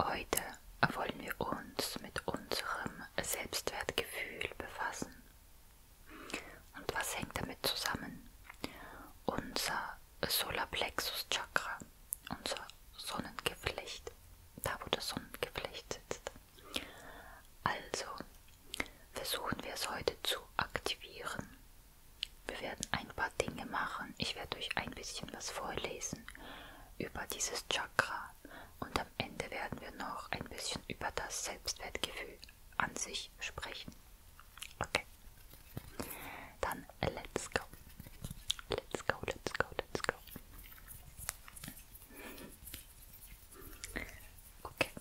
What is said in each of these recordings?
Heute wollen wir uns mit unserem Selbstwertgefühl befassen. Und was hängt damit zusammen? Unser Solarplexus Chakra, unser Sonnengeflecht, da wo das Sonnengeflecht sitzt. Also versuchen wir es heute zu aktivieren. Wir werden ein paar Dinge machen. Ich werde euch ein bisschen was vorlesen über dieses Chakra Chakra und am Ende werden wir noch ein bisschen über das Selbstwertgefühl an sich sprechen. Okay. Dann let's go. Let's go, let's go, let's go. Okay.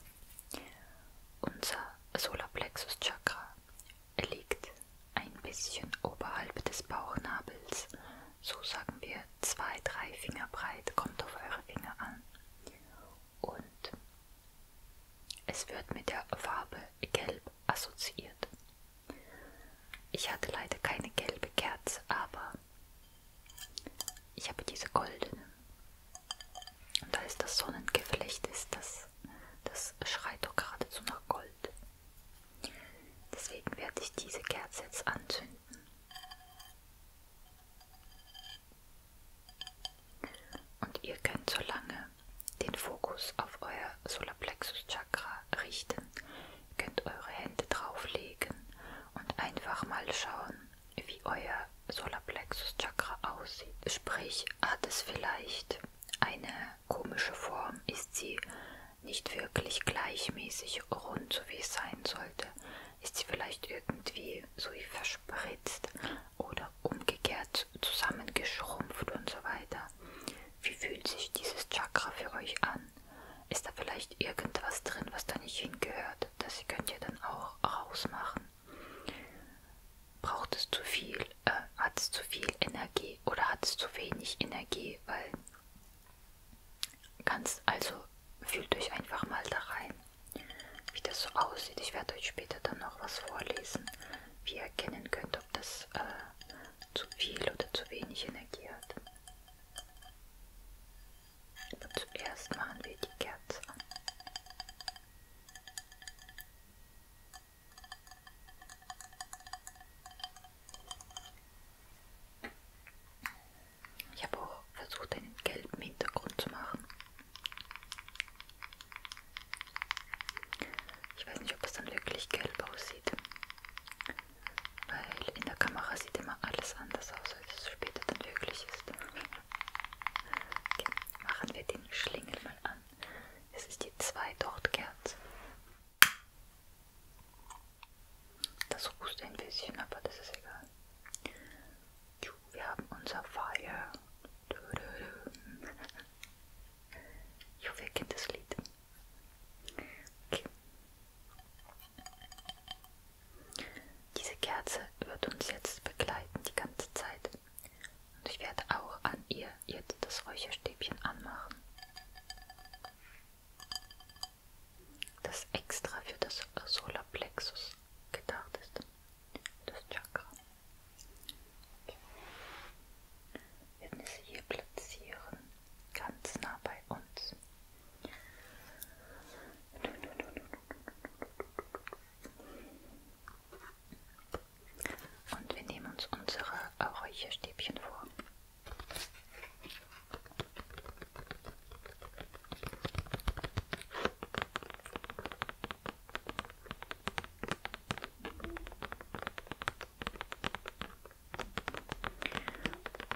Unser Solarplexus Chakra liegt ein bisschen oberhalb des Bauchnabels so sagen wir 2-3 Finger breit, kommt auf eure Finger an. Und es wird mit der Farbe Gelb assoziiert. Ich hatte leider keine gelbe Kerze, aber ich habe diese goldene. Und da ist das Sonnengeflecht ist, das, das schreit doch geradezu nach Gold. Deswegen werde ich diese Kerze jetzt anzünden. Und ihr könnt so lange den Fokus auf euer Solarplexus Chakra richten. Ihr könnt eure Hände drauflegen und einfach mal schauen, wie euer Solarplexus Chakra aussieht. Sprich, hat es vielleicht eine komische Form? Ist sie nicht wirklich gleichmäßig rund, so wie es sein sollte, ist sie vielleicht irgendwie so wie verspritzt oder umgekehrt zusammengeschrumpft und so weiter. Wie fühlt sich dieses Chakra für euch an? Ist da vielleicht irgendwas drin, was da nicht hingehört? Das könnt ihr dann auch rausmachen. Braucht es zu viel? Äh, hat es zu viel Energie oder hat es zu wenig Energie? Weil Ganz, also fühlt euch einfach mal da rein, wie das so aussieht. Ich werde euch später dann noch was vorlesen, wie ihr erkennen könnt, ob das äh, zu viel oder zu wenig Energie hat. Aber zuerst machen wir die Kerze an. Ich habe auch versucht, einen gelben Hintergrund zu machen. Ich weiß nicht, ob es dann wirklich gelb aussieht. Weil in der Kamera sieht immer alles anders aus, als es später dann wirklich ist. Okay, machen wir den Schlingel mal an. Es ist die 2 Dochtkerze. Das ruht ein bisschen, aber das ist egal. Wir haben unser Fire. Ich hoffe, ihr kennt das Lied. Okay. Diese Kerze wird uns jetzt begleiten die ganze Zeit. Und ich werde auch an ihr jetzt das Räucherstäbchen anmachen das extra für das Solarplexus gedacht ist, das Chakra. Okay. Wir werden es hier platzieren, ganz nah bei uns. Und wir nehmen uns unsere Räucherstäbchen vor.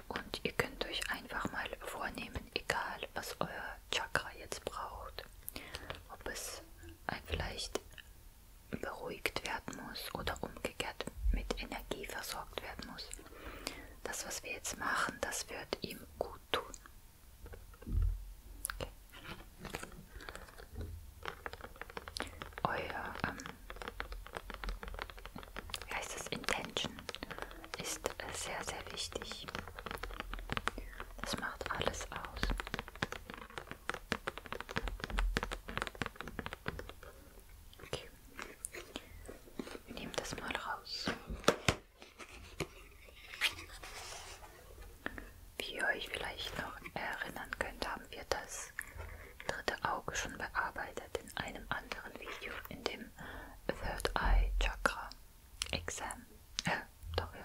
Und ihr könnt euch einfach mal vornehmen, egal was euer Chakra jetzt braucht, ob es vielleicht beruhigt werden muss oder umgekehrt mit Energie versorgt werden muss. Das, was wir jetzt machen, das wird ihm gut tun. Okay. Euer, ähm, wie heißt das, Intention ist äh, sehr, sehr wichtig. Das macht alles aus. Okay. Nehmt das mal raus. Wie ihr euch vielleicht noch erinnern könnt, haben wir das dritte Auge schon bearbeitet in einem anderen Video, in dem Third Eye Chakra Exam. Äh, doch, ja.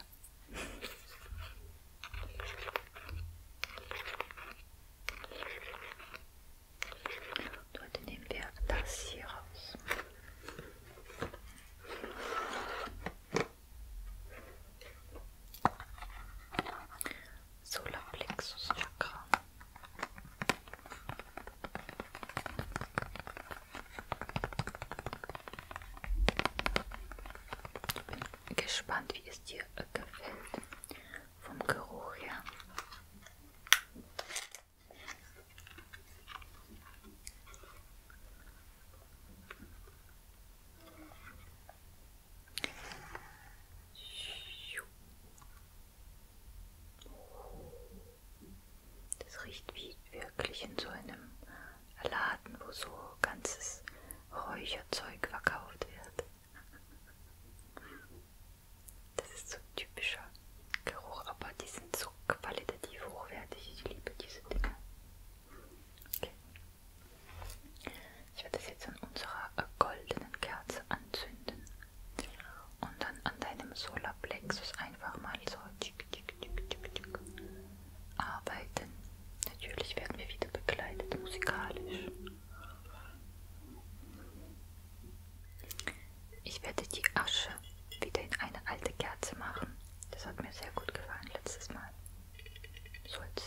Und heute nehmen wir das hier raus. Solarplexus Chakra. Ich bin gespannt, wie es dir gefällt vom Geruch her. Das riecht wie wirklich in so einem Laden, wo so ganzes Räucherzeug verkauft wird. Das ist so ein typischer Geruch, aber die sind so qualitativ hochwertig. Ich liebe diese Dinge. Okay. Ich werde das jetzt an unserer goldenen Kerze anzünden und dann an deinem Solarplexus einfach mal so tick, tick, tick, tick, tick, arbeiten. Natürlich werden wir wieder begleitet musikalisch. Ich werde die Asche wieder in eine alte Kerze machen. Das hat mir sehr gut gefallen letztes Mal. So als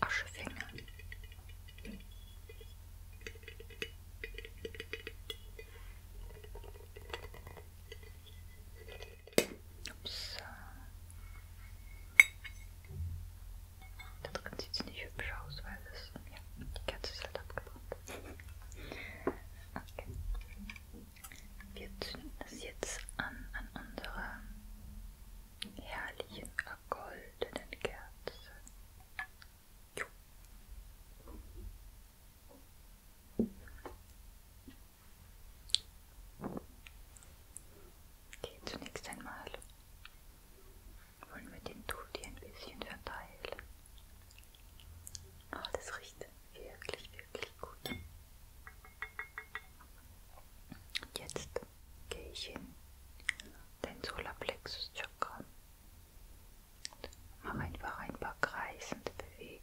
Aschefänger. Ups. Da drin sieht es nicht hübsch aus, weil es, ja, die Kerze ist halt abgebrannt okay. Wir zünden das jetzt an an unserer herrlichen goldenen Kerze. Jo. Okay, zunächst einmal wollen wir den Tutti ein bisschen verteilen. Oh, das riecht wirklich, wirklich gut. Und jetzt gehe ich in den Solarplexus Chakra und mache einfach ein paar kreisende Bewegungen.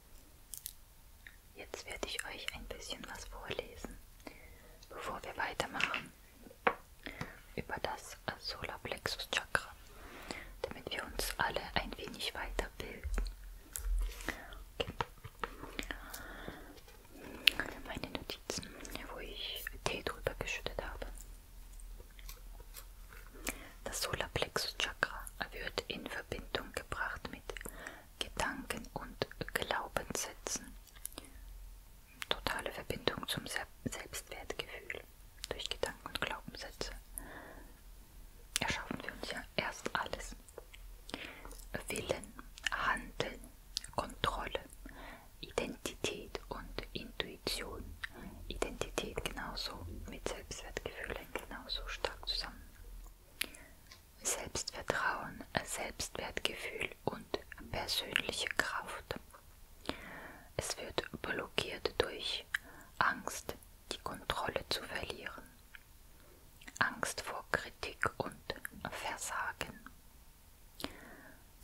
Jetzt werde ich euch ein bisschen was vorlesen, bevor wir weitermachen über das Solarplexus Chakra, damit wir uns alle ein wenig weiterbilden. Okay. Meine Notizen, wo ich Tee drüber geschüttet habe. Das Solarplexus Chakra wird in Verbindung gebracht mit Gedanken und Glaubenssätzen. Totale Verbindung zum Selbstwertgefühl durch Gedanken und Glaubenssätze erschaffen wir uns ja erst alles. Willen, Handeln, Kontrolle, Identität und Intuition. Identität genauso mit Selbstwertgefühlen genauso stark zusammen. Selbstvertrauen, Selbstwertgefühl und persönliche Kraft. Es wird blockiert durch Angst, die Kontrolle zu verlieren, Angst vor Kritik und Versagen.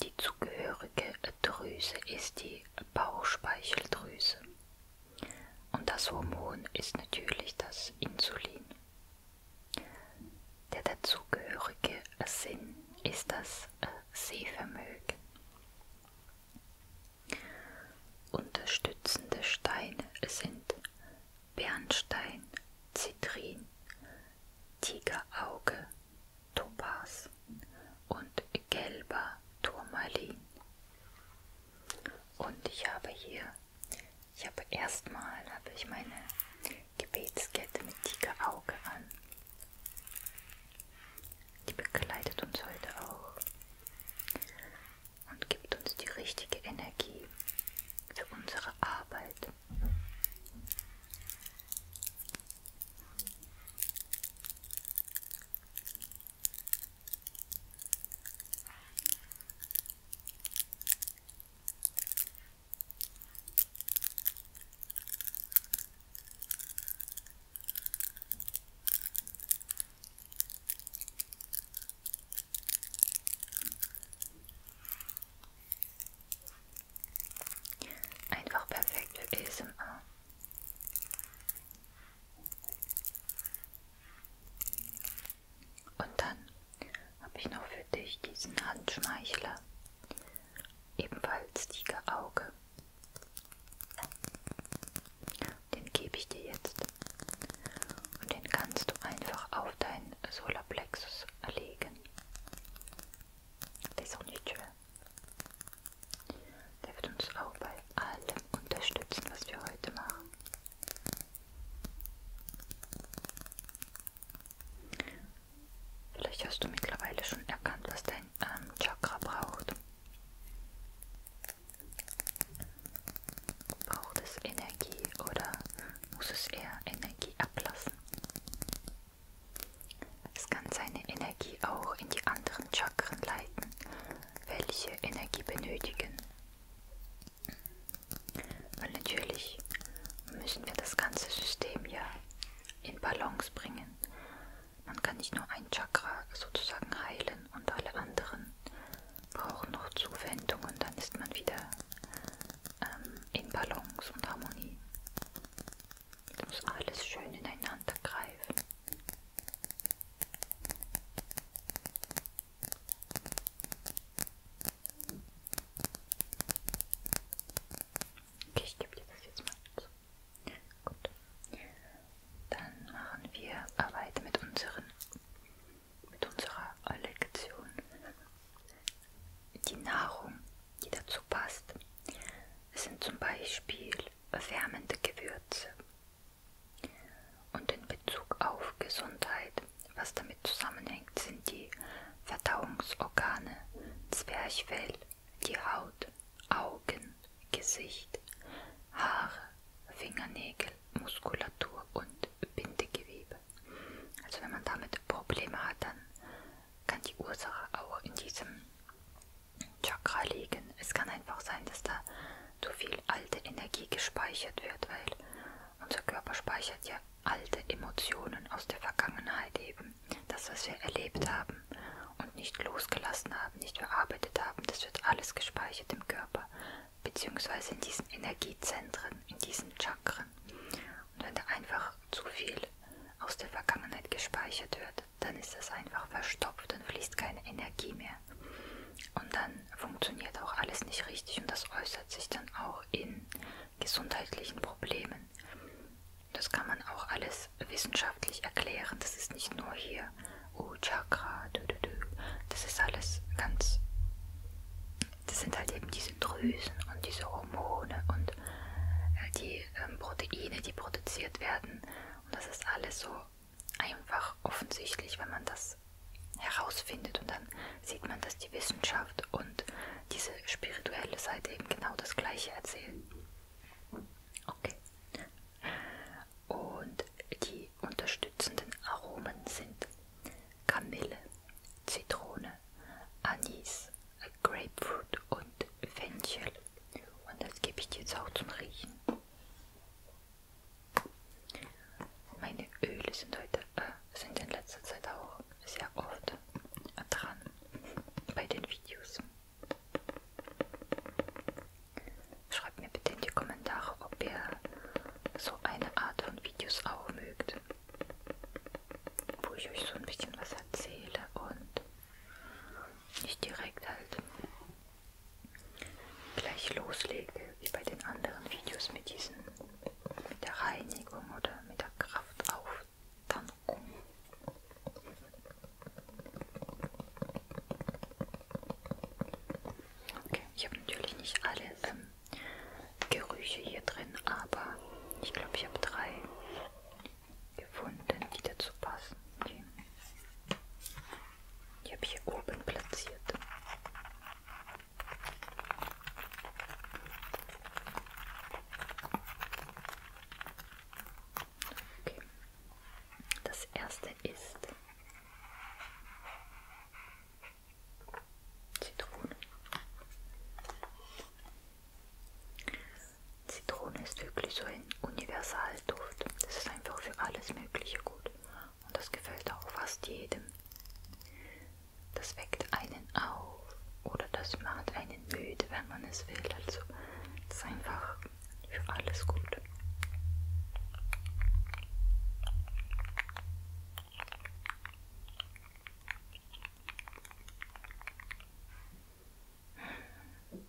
Die zugehörige Drüse ist die Bauchspeicheldrüse und das Hormon ist natürlich das Insulin. Der dazugehörige Sinn ist das äh, Sehvermögen. Unterstützende Steine sind Bernstein, Zitrin, Tigerauge, Topaz und gelber Turmalin. Und ich habe hier ich habe erstmal habe ich meine Gebetskette mit Tigerauge an. Die begleitet uns heute auch und gibt uns die richtige Energie für unsere Arbeit. Einfach perfekt für ASMR. Und dann habe ich noch für dich diesen Handschmeichler, ebenfalls Tigerauge. Den gebe ich dir jetzt und den kannst du einfach auf deinen Solarplexus legen. Der ist auch nicht schwer. Der wird uns auch bei allem unterstützen, was wir heute machen. Vielleicht hast du mittlerweile schon erkannt, was dein ähm, Chakra braucht. Braucht es Energie oder muss es eher Energie ablassen? Es kann seine Energie auch in die anderen Chakren leiten, welche Energie benötigen. Und natürlich müssen wir das ganze System ja in Balance bringen. Man kann nicht nur ein Chakra sozusagen heilen und alle anderen brauchen noch Zuwendung und dann ist man wieder ähm, in Balance und Harmonie. Es muss alles schön ineinander greifen. Okay, ich gebe dir das jetzt mal zu. Gut. Dann machen wir weiter mit unseren mit unserer Lektion. Die Nahrung, die dazu passt, sind zum Beispiel wärmende Gewürze. Und in Bezug auf Gesundheit was damit zusammenhängt, sind die Verdauungsorgane, Zwerchfell, die Haut, Augen, Gesicht, Haare, Fingernägel, Muskulatur und Bindegewebe. Also wenn man damit Probleme hat, dann kann die Ursache auch in diesem Chakra liegen. Es kann einfach sein, dass da zu viel alte Energie gespeichert wird, weil unser Körper speichert ja alte Emotionen aus der Vergangenheit eben, das, was wir erlebt haben und nicht losgelassen haben, nicht verarbeitet haben, das wird alles gespeichert im Körper, beziehungsweise in diesen Energiezentren, in diesen Chakren. Und wenn da einfach zu viel aus der Vergangenheit gespeichert wird, dann ist das einfach verstopft, dann fließt keine Energie mehr. Und dann funktioniert auch alles nicht richtig und das äußert sich dann auch in gesundheitlichen Problemen. Das kann man auch alles wissenschaftlich erklären. Das ist nicht nur hier, oh Chakra, dü, dü, dü. das ist alles ganz, das sind halt eben diese Drüsen und diese Hormone und äh, die ähm, Proteine, die produziert werden. Und das ist alles so einfach offensichtlich, wenn man das das herausfindet. Und dann sieht man, dass die Wissenschaft und diese spirituelle Seite eben genau das Gleiche erzählen. Okay. Und die unterstützenden Aromen sind Kamille, Zitrone, Anis, Grapefruit und Fenchel. Und das gebe ich dir jetzt auch zum Riechen. Meine Öle sind heute, äh, sind in letzter Zeit auch sehr oft dran bei den Videos. Schreibt mir bitte in die Kommentare, ob ihr so eine Art von Videos auch mögt, wo ich euch so ein bisschen was erzähle und nicht direkt halt gleich loslege wie bei den anderen Videos mit diesen mit der Reinigung oder mit der Kraftauftankung. Okay, ich habe natürlich nicht alle ähm, Gerüche hier drin, aber ich glaube, ich habe drei gefunden, die dazu passen. Okay. Die habe ich hier oben platziert. Okay. Das erste ist Zitrone. Zitrone ist wirklich so ein Universalduft. Das ist einfach für alles Mögliche gut. Und das gefällt auch fast jedem. Das weckt einen auf oder das macht einen müde, wenn man es will. Also es ist einfach für alles gut. Hm.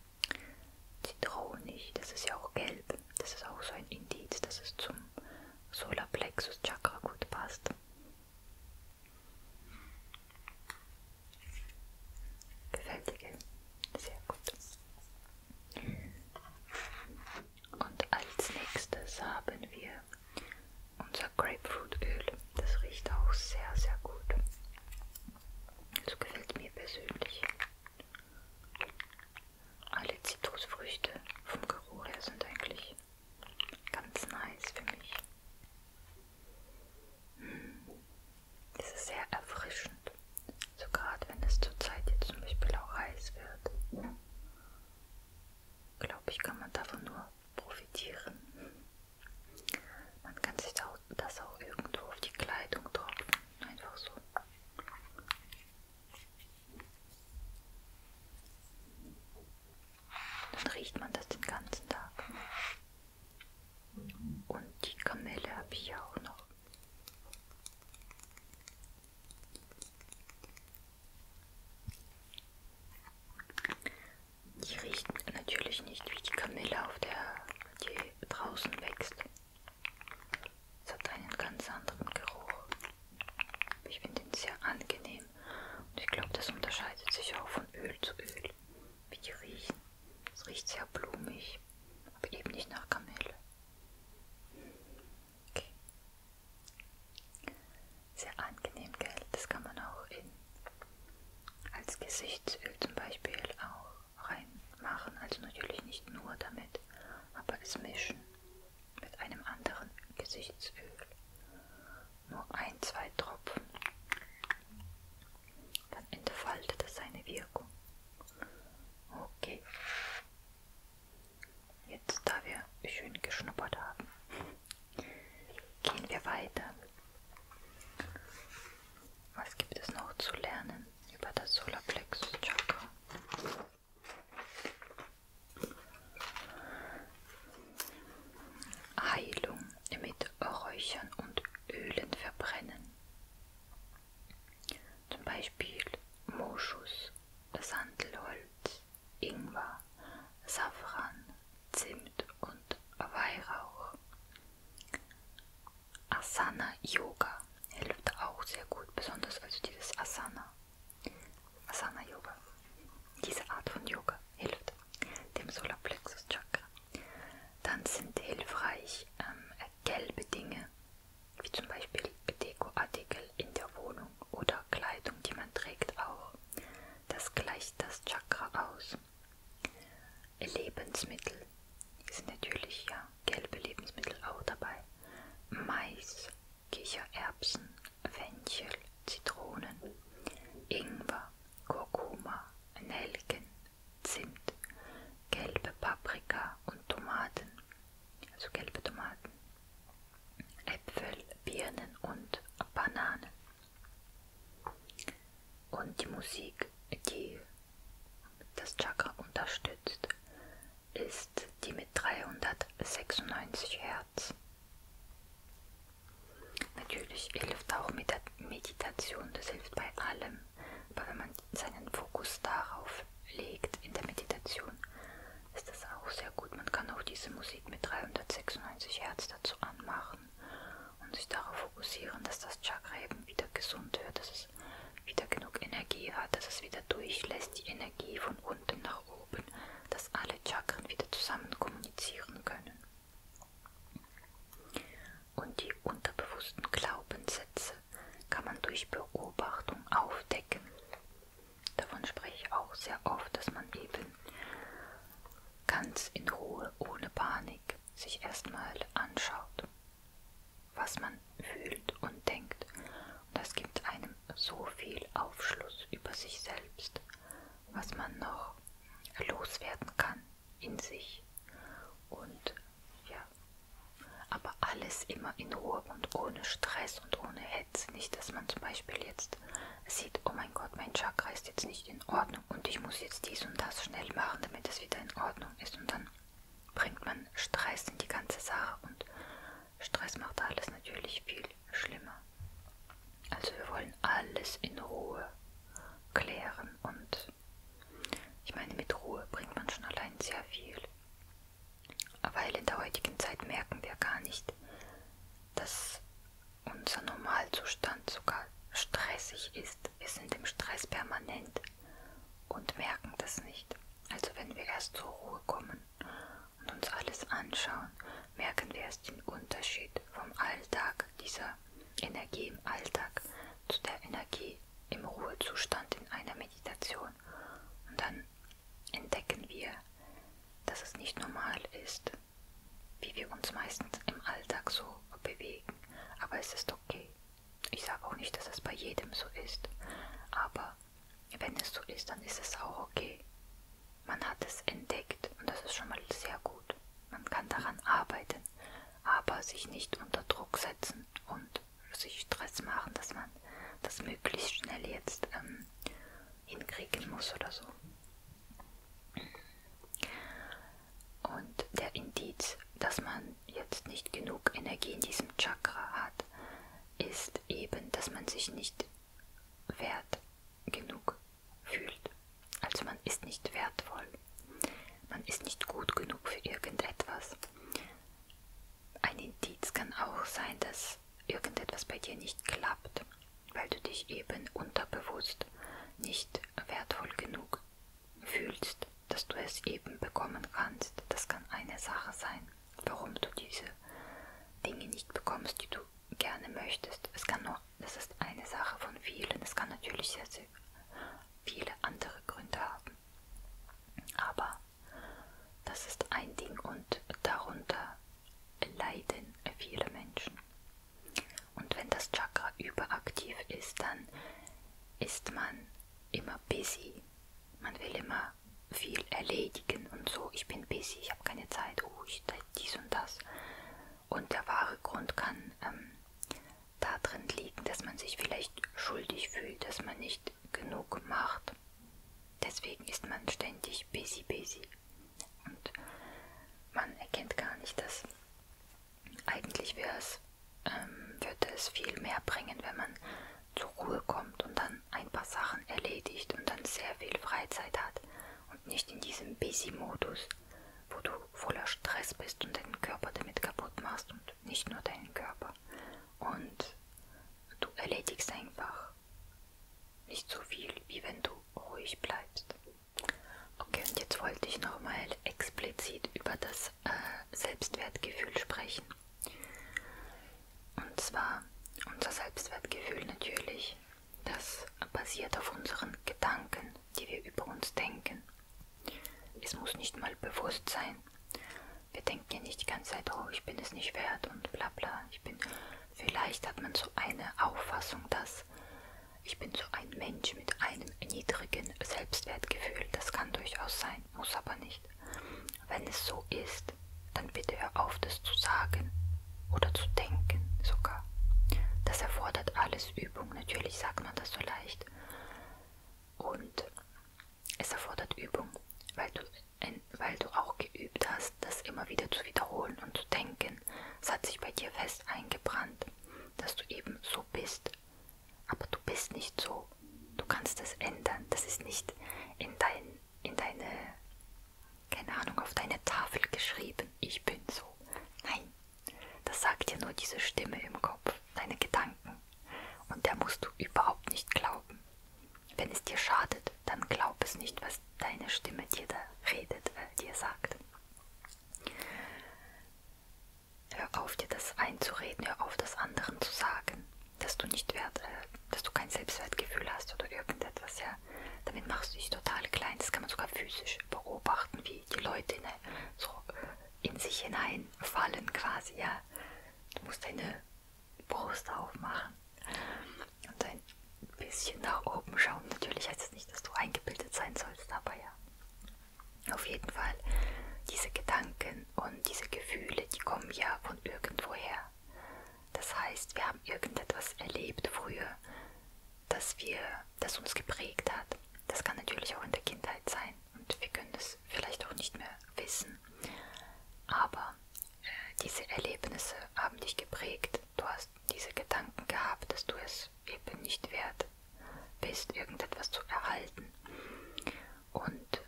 Zitronig, das ist ja auch gelb. Das ist auch so ein Indiz, dass es zum Solarplexus Chakra gut passt. Gefällt dir, gell? Sehr gut. Und als nächstes haben wir unser Grapefruitöl. Das riecht auch sehr, sehr gut. So gefällt mir persönlich. Alle Zitrusfrüchte vom Geruch her sind eigentlich Ganz nice für mich. Es hm. ist sehr erfrischend. So gerade wenn es zurzeit jetzt zum Beispiel auch heiß wird. Glaube ich, kann man davon nur profitieren. Man kann sich das auch irgendwo auf die Kleidung tropfen. Einfach so. Dann riecht man das den ganzen Tag. Und die Kamelle habe ich ja auch noch. Die riecht natürlich nicht wie die Kamille, auf der die draußen wächst. Es hat einen ganz anderen Geruch. Ich finde ihn sehr angenehm. Und ich glaube, das unterscheidet sich auch von Öl zu Öl, wie die riechen. Es riecht sehr blumig, aber eben nicht nach Kamille. Okay. Sehr angenehm, gell? Das kann man auch in, als Gesichtsöl zum Beispiel auch reinmachen. Also natürlich nicht nur damit, aber es mischen mit einem anderen Gesichtsöl. Nur ein, zwei Tropfen. Dann entfaltet es seine Wirkung. Okay. Jetzt, da wir schön geschnuppert haben, gehen wir weiter. Was gibt es noch zu lernen über das Solarplexus Chakra? Heilung mit Räuchern und Ölen verbrennen. Zum Beispiel Moschus, Sandelholz, Ingwer, Safran, Zimt und Weihrauch. Asana Yoga hilft auch sehr gut, besonders also dieses Asana Asana Yoga. Diese Art von Yoga hilft dem Solarplexus Chakra. Dann sind hilfreich ähm, gelbe Dinge, wie zum Beispiel Dekoartikel in der Wohnung oder Kleidung, die man trägt, auch. Das gleicht das Chakra aus. Lebensmittel sind natürlich ja gelbe Lebensmittel auch dabei. Mais, Kichererbsen, Fenchel, Zitronen, Ingwer, Kurkuma, Nelken, Zimt, gelbe Paprika und Tomaten, also gelbe Tomaten, Äpfel, Birnen und Bananen. Und die Musik, die das Chakra unterstützt, ist die mit 396 Hertz. Natürlich hilft auch Meditation, das hilft bei allem. Aber wenn man seinen Fokus darauf legt in der Meditation, ist das auch sehr gut. Man kann auch diese Musik mit 396 Hertz dazu anmachen und sich darauf fokussieren, dass das Chakra eben wieder gesund wird, dass es wieder genug Energie hat, dass es wieder durchlässt, die Energie von unten nach oben, dass alle Chakren wieder zusammenkommen kommunizieren können. Und die unterbewussten Glaubenssätze kann man durch Beobachtung aufdecken. Davon spreche ich auch sehr oft, dass man eben ganz in Ruhe, ohne Panik, sich erstmal anschaut, was man fühlt und denkt. Und das gibt einem so viel Aufschluss über sich selbst, was man noch loswerden kann in sich. Und ja, aber alles immer in Ruhe und ohne Stress und ohne Hetze. Nicht, dass man zum Beispiel jetzt sieht, oh mein Gott, mein Chakra ist jetzt nicht in Ordnung und ich muss jetzt dies und das schnell machen, damit es wieder in Ordnung ist. Und dann bringt man Stress in die ganze Sache und Stress macht alles natürlich viel viel schlimmer. Also wir wollen alles in Ruhe klären und ich meine, mit Ruhe bringt man schon allein sehr viel. Weil in der heutigen Zeit merken wir gar nicht, dass unser Normalzustand sogar stressig ist. Wir sind im Stress permanent und merken das nicht. Also wenn wir erst zur Ruhe kommen und uns alles anschauen, merken wir erst den Unterschied vom Alltag, dieser Energie im Alltag, zu der Energie im Ruhezustand in einer Meditation. Und dann entdecken wir, dass es nicht normal ist, wie wir uns meistens im Alltag so bewegen. Aber es ist okay. Ich sage auch nicht, dass es bei jedem so ist. Aber wenn es so ist, dann ist es auch okay. Man hat es entdeckt und das ist schon mal sehr gut. Man kann daran arbeiten, aber sich nicht unter Druck setzen und sich Stress machen, dass man das möglichst schnell jetzt ähm, hinkriegen muss oder so. Und der Indiz, dass man jetzt nicht genug Energie in diesem Chakra hat, ist eben, dass man sich nicht wert genug fühlt. Also man ist nicht wertvoll. Man ist nicht gut genug für irgendetwas. Ein Indiz kann auch sein, dass irgendetwas bei dir nicht klappt, weil du dich eben unterbewusst nicht wertvoll genug fühlst, dass du es eben bekommen kannst. Das kann eine Sache sein, warum du diese Dinge nicht bekommst, die du gerne möchtest. Es kann nur, das ist eine Sache von vielen. Es kann natürlich sehr, sehr viele andere Gründe haben. Aber das ist ein Ding und darunter leiden viele Menschen. Und wenn das Chakra überaktiv ist, dann ist man immer busy. Man will immer viel erledigen und so. Ich bin busy, ich habe keine Zeit. Oh, ich dies und das. Und der wahre Grund kann ähm, darin liegen, dass man sich vielleicht schuldig fühlt, dass man nicht genug macht. Deswegen ist man ständig busy, busy. Und man erkennt gar nicht, dass eigentlich wäre es, ähm, würde es viel mehr bringen, wenn man zur Ruhe kommt und dann ein paar Sachen erledigt und dann sehr viel Freizeit hat und nicht in diesem Busy-Modus, wo du voller Stress bist und deinen Körper damit kaputt machst und nicht nur deinen Körper. Und du erledigst einfach nicht so viel, wie wenn du ruhig bleibst. Okay, und jetzt wollte ich nochmal explizit über das äh, Selbstwertgefühl sprechen. Und zwar unser Selbstwertgefühl natürlich das basiert auf unseren Gedanken, die wir über uns denken. Es muss nicht mal bewusst sein. Wir denken ja nicht die ganze Zeit, oh, ich bin es nicht wert und bla bla. Ich bin. Vielleicht hat man so eine Auffassung, dass ich bin so ein Mensch mit einem niedrigen Selbstwertgefühl. Das kann durchaus sein, muss aber nicht. Wenn es so ist, dann bitte hör auf, das zu sagen oder zu denken sogar. Das erfordert alles Übung. Natürlich sagt man das so leicht. Und es erfordert Übung, weil du, weil du auch geübt hast, das immer wieder zu wiederholen und zu denken. Es hat sich bei dir fest eingebrannt, dass du eben so bist. Aber du bist nicht so. Du kannst das ändern. Das ist nicht in, dein, in deine keine Ahnung, auf deine Tafel geschrieben, ich bin so. Nein, das sagt dir nur diese Stimme im Kopf, deine Gedanken. Und der musst du überhaupt nicht glauben. Wenn es dir schadet, dann glaub es nicht, was deine Stimme dir da redet, äh, dir sagt. Hör auf, dir das einzureden, hör auf, das anderen zu sagen, dass du nicht wert, äh, dass du kein Selbstwertgefühl hast oder irgendetwas, ja. Damit machst du dich total klein. Das kann man sogar physisch beobachten, wie die Leute in, so in sich hineinfallen quasi, ja. Du musst deine Brust aufmachen und ein bisschen nach oben schauen. Natürlich heißt es das nicht, dass du eingebildet sein sollst, aber ja. Auf jeden Fall, diese Gedanken und diese Gefühle, die kommen ja von irgendwoher. Das heißt, wir haben irgendetwas erlebt früher, das wir, das uns geprägt hat. Das kann natürlich auch in der Kindheit sein und wir können das vielleicht auch nicht mehr wissen. Aber äh, diese Erlebnisse haben dich geprägt. Du hast diese Gedanken gehabt, dass du es eben nicht wert bist, irgendetwas zu erhalten. Und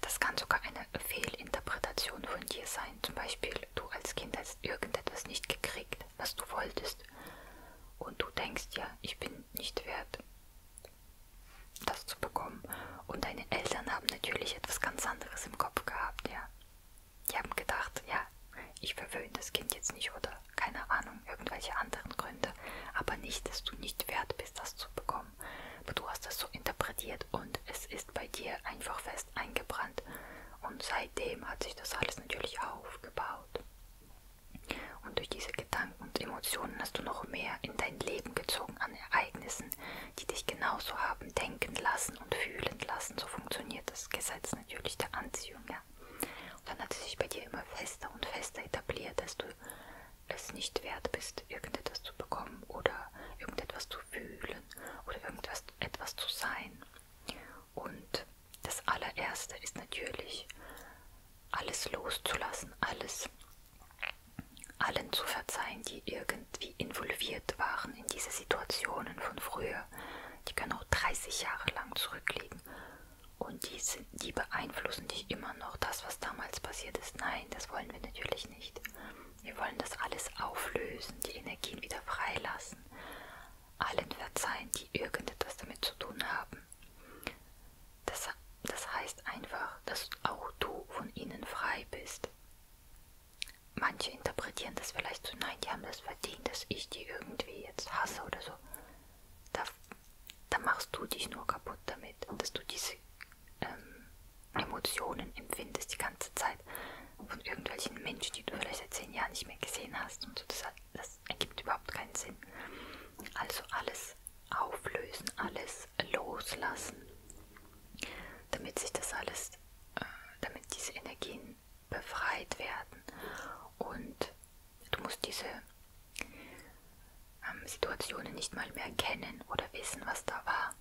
das kann sogar eine Fehlinterpretation von dir sein. Zum Beispiel, du als Kind hast irgendetwas nicht gekriegt was du wolltest. Und du denkst ja, ich bin nicht wert, das zu bekommen. Und deine Eltern haben natürlich etwas ganz anderes im Kopf gehabt, ja. Die haben gedacht, ja, ich verwöhne das Kind jetzt nicht oder keine Ahnung, irgendwelche anderen Gründe. Aber nicht, dass du nicht wert bist, das zu bekommen. Aber du hast das so interpretiert und es ist bei dir einfach fest fest eingebrannt. Und seitdem hat sich das alles natürlich aufgebaut. Und durch diese Gedanken und Emotionen hast du noch mehr in dein Leben gezogen an Ereignissen, die dich genauso haben denken lassen und fühlen lassen. So funktioniert das Gesetz natürlich der Anziehung. Ja? Und dann hat es sich bei dir immer fester und fester etabliert, dass du es nicht wert bist, irgendetwas zu bekommen oder irgendetwas zu fühlen oder irgendetwas etwas zu sein. Und das allererste ist natürlich, alles loszulassen, alles allen zu verzeihen, die irgendwie involviert waren in diese Situationen von früher. Die können auch 30 Jahre lang zurückliegen. Und die, sind, die beeinflussen dich immer noch, das, was damals passiert ist. Nein, das wollen wir natürlich nicht. Wir wollen das alles auflösen, die Energien wieder freilassen, allen verzeihen, die irgendetwas damit zu tun haben. Das, das heißt einfach, dass auch du von ihnen frei bist. Manche interpretieren das vielleicht so, nein, die haben das verdient, dass ich die irgendwie jetzt hasse oder so. Da, da machst du dich nur kaputt damit, dass du diese ähm, Emotionen empfindest die ganze Zeit von irgendwelchen Menschen, die du vielleicht seit zehn Jahren nicht mehr gesehen hast und so, das, hat, das ergibt überhaupt keinen Sinn. Also alles auflösen, alles loslassen, damit sich das alles, äh, damit diese Energien befreit werden und du musst diese ähm, Situationen nicht mal mehr kennen oder wissen, was da war.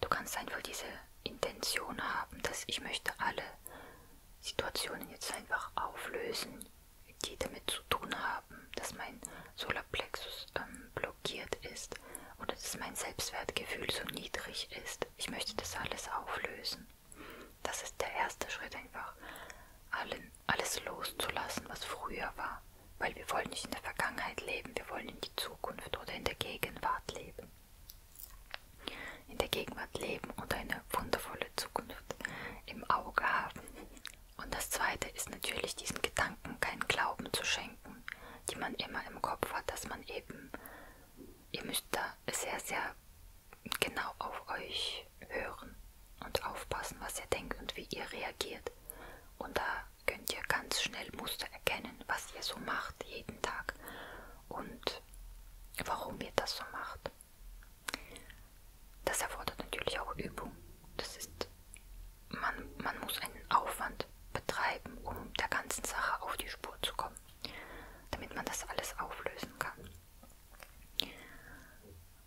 Du kannst einfach diese Intention haben, dass ich möchte alle Situationen jetzt einfach auflösen, die damit zu tun haben, dass mein Solarplexus ähm, blockiert ist oder dass mein Selbstwertgefühl so niedrig ist. Ich möchte das alles auflösen. Das ist der erste Schritt, einfach allen, alles loszulassen, was früher war. Weil wir wollen nicht in der Vergangenheit leben, wir wollen in die Zukunft oder in der Gegenwart leben in der Gegenwart leben und eine wundervolle Zukunft im Auge haben. Und das Zweite ist natürlich diesen Gedanken keinen Glauben zu schenken, die man immer im Kopf hat, dass man eben, ihr müsst da sehr, sehr genau auf euch hören und aufpassen, was ihr denkt und wie ihr reagiert. Und da könnt ihr ganz schnell Muster erkennen, was ihr so macht jeden Tag. Und warum ihr das so macht. Das erfordert natürlich auch Übung. Das ist, man, man muss einen Aufwand betreiben, um der ganzen Sache auf die Spur zu kommen, damit man das alles auflösen kann.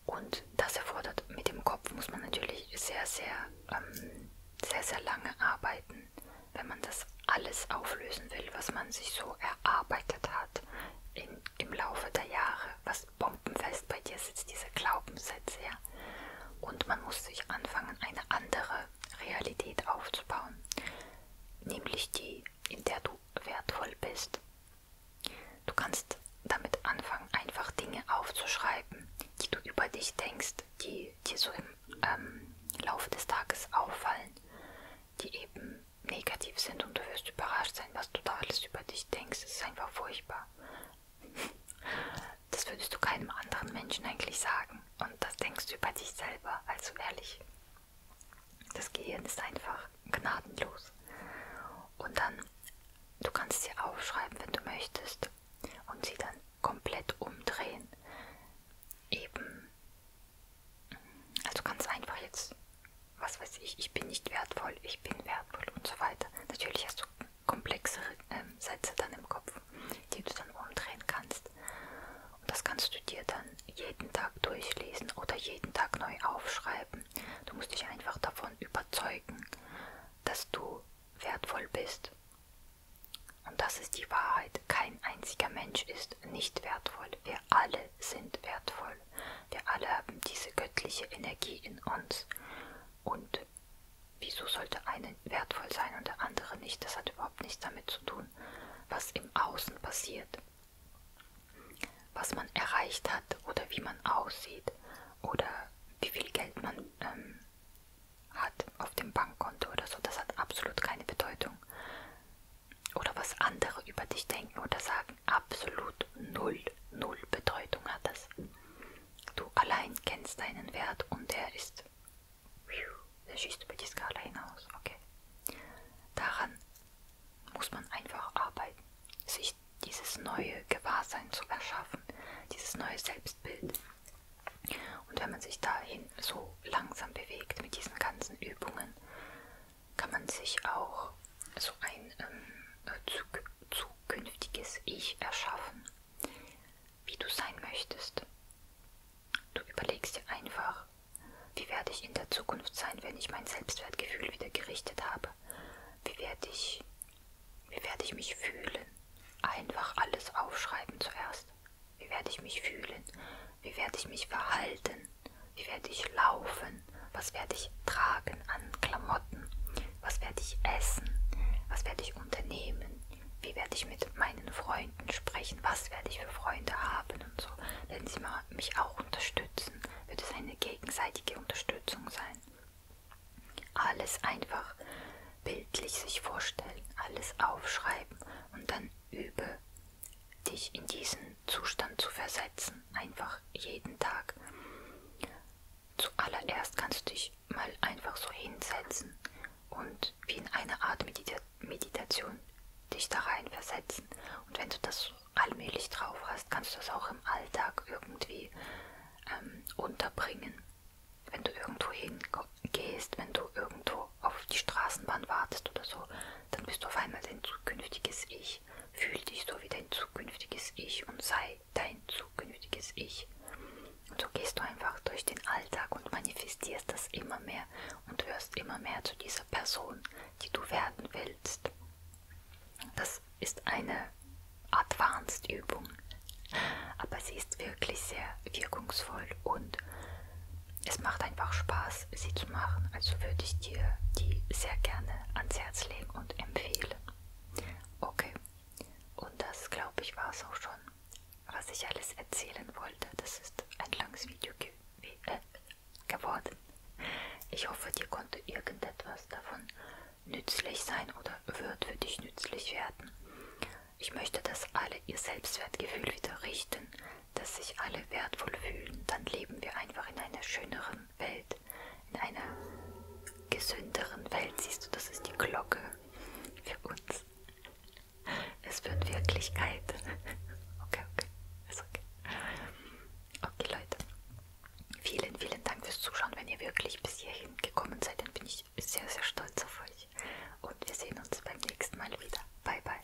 Und das erfordert, mit dem Kopf muss man natürlich sehr, sehr, ähm, sehr, sehr lange arbeiten, wenn man das alles auflösen will, was man sich so erarbeitet hat in, im Laufe der Jahre, was bombenfest bei dir sitzt, diese Glaubenssätze. Ja? Und man muss sich anfangen, eine andere Realität aufzubauen, nämlich die, in der du wertvoll bist. Du kannst damit anfangen, einfach Dinge aufzuschreiben, die du über dich denkst, die dir so im ähm, Laufe des Tages auffallen, die eben negativ sind und du wirst überrascht sein, was du da alles über dich denkst. Es ist einfach furchtbar. Das würdest du keinem anderen Menschen eigentlich sagen. Und das denkst du über dich selber. Also ehrlich, das Gehirn ist einfach gnadenlos. Und dann, du kannst sie aufschreiben, wenn du möchtest. Und sie dann komplett umdrehen. Eben also ganz einfach jetzt, was weiß ich, ich bin nicht wertvoll, ich bin wertvoll und so weiter. Natürlich hast du komplexere äh, Sätze dann im Kopf, die du dann umdrehen kannst. Und das kannst du dir dann jeden Tag durchlesen oder jeden Tag neu aufschreiben. Du musst dich einfach davon überzeugen, dass du wertvoll bist. Und das ist die Wahrheit. Kein einziger Mensch ist ist nicht wertvoll. Wir alle sind wertvoll. Wir alle haben diese göttliche Energie in uns. Und wieso sollte eine wertvoll sein und der andere nicht? Das hat überhaupt nichts damit zu tun, was im Außen passiert. Was man erreicht hat oder wie man aussieht oder wie viel Geld man ähm, hat auf dem Bankkonto oder so, das hat absolut keine Bedeutung oder was andere über dich denken oder sagen, absolut null, null Bedeutung hat das. Du allein kennst deinen Wert und der ist, der schießt über die Skala hinaus, okay. Daran muss man einfach arbeiten, sich dieses neue Gewahrsein zu erschaffen, dieses neue Selbstbild. Und wenn man sich dahin so langsam bewegt mit diesen ganzen Übungen, kann man sich auch so ein ähm, äh, zuk zukünftiges Ich erschaffen, wie du sein möchtest. Du überlegst dir einfach, wie werde ich in der Zukunft sein, wenn ich mein Selbstwertgefühl wieder gerichtet habe? Wie werde ich, wie werde ich mich fühlen? Einfach alles aufschreiben zuerst. Wie werde ich mich fühlen? Wie werde ich mich verhalten? Wie werde ich laufen? Was werde ich tragen an Klamotten? Was werde ich essen? Was werde ich unternehmen? Wie werde ich mit meinen Freunden sprechen? Was werde ich für Freunde haben und so? Wenn sie mal mich auch unterstützen, wird es eine gegenseitige Unterstützung sein. Alles einfach bildlich sich vorstellen, alles aufschreiben und dann übe dich in diesen Zustand zu versetzen, einfach jeden Tag. Zuallererst kannst du dich mal einfach so hinsetzen und wie in eine Art Medita Meditation dich da rein versetzen. Und wenn du das allmählich drauf hast, kannst du das auch im Alltag irgendwie ähm, unterbringen. Wenn du irgendwo hingehst, wenn du irgendwo auf die Straßenbahn wartest oder so, dann bist du auf einmal dein zukünftiges Ich. Fühl dich so wie dein zukünftiges Ich und sei dein zukünftiges Ich. Und so gehst du einfach durch den Alltag und manifestierst das immer mehr und wirst immer mehr zu dieser Person, die du werden willst. Das ist eine Advanced-Übung, aber sie ist wirklich sehr wirkungsvoll und es macht einfach Spaß, sie zu machen. Also würde ich dir die sehr gerne ans Herz legen und empfehlen. Okay, und das glaube ich war es auch schon, was ich alles erzählen wollte. Das ist ein langes Video ge äh, geworden. Ich hoffe, dir konnte irgendetwas davon nützlich sein oder wird für dich nützlich werden. Ich möchte, dass alle ihr Selbstwertgefühl wieder richten, dass sich alle wertvoll fühlen, dann leben wir einfach in einer schöneren Welt, in einer gesünderen Welt. Siehst du, das ist die Glocke für uns. Es wird Wirklichkeit. Okay, okay, ist okay. Okay, Leute. Vielen, vielen Dank fürs Zuschauen. Wenn ihr wirklich bis hierhin gekommen seid, dann bin ich sehr, sehr stolz auf euch. Und wir sehen uns beim nächsten Mal wieder. Bye, bye.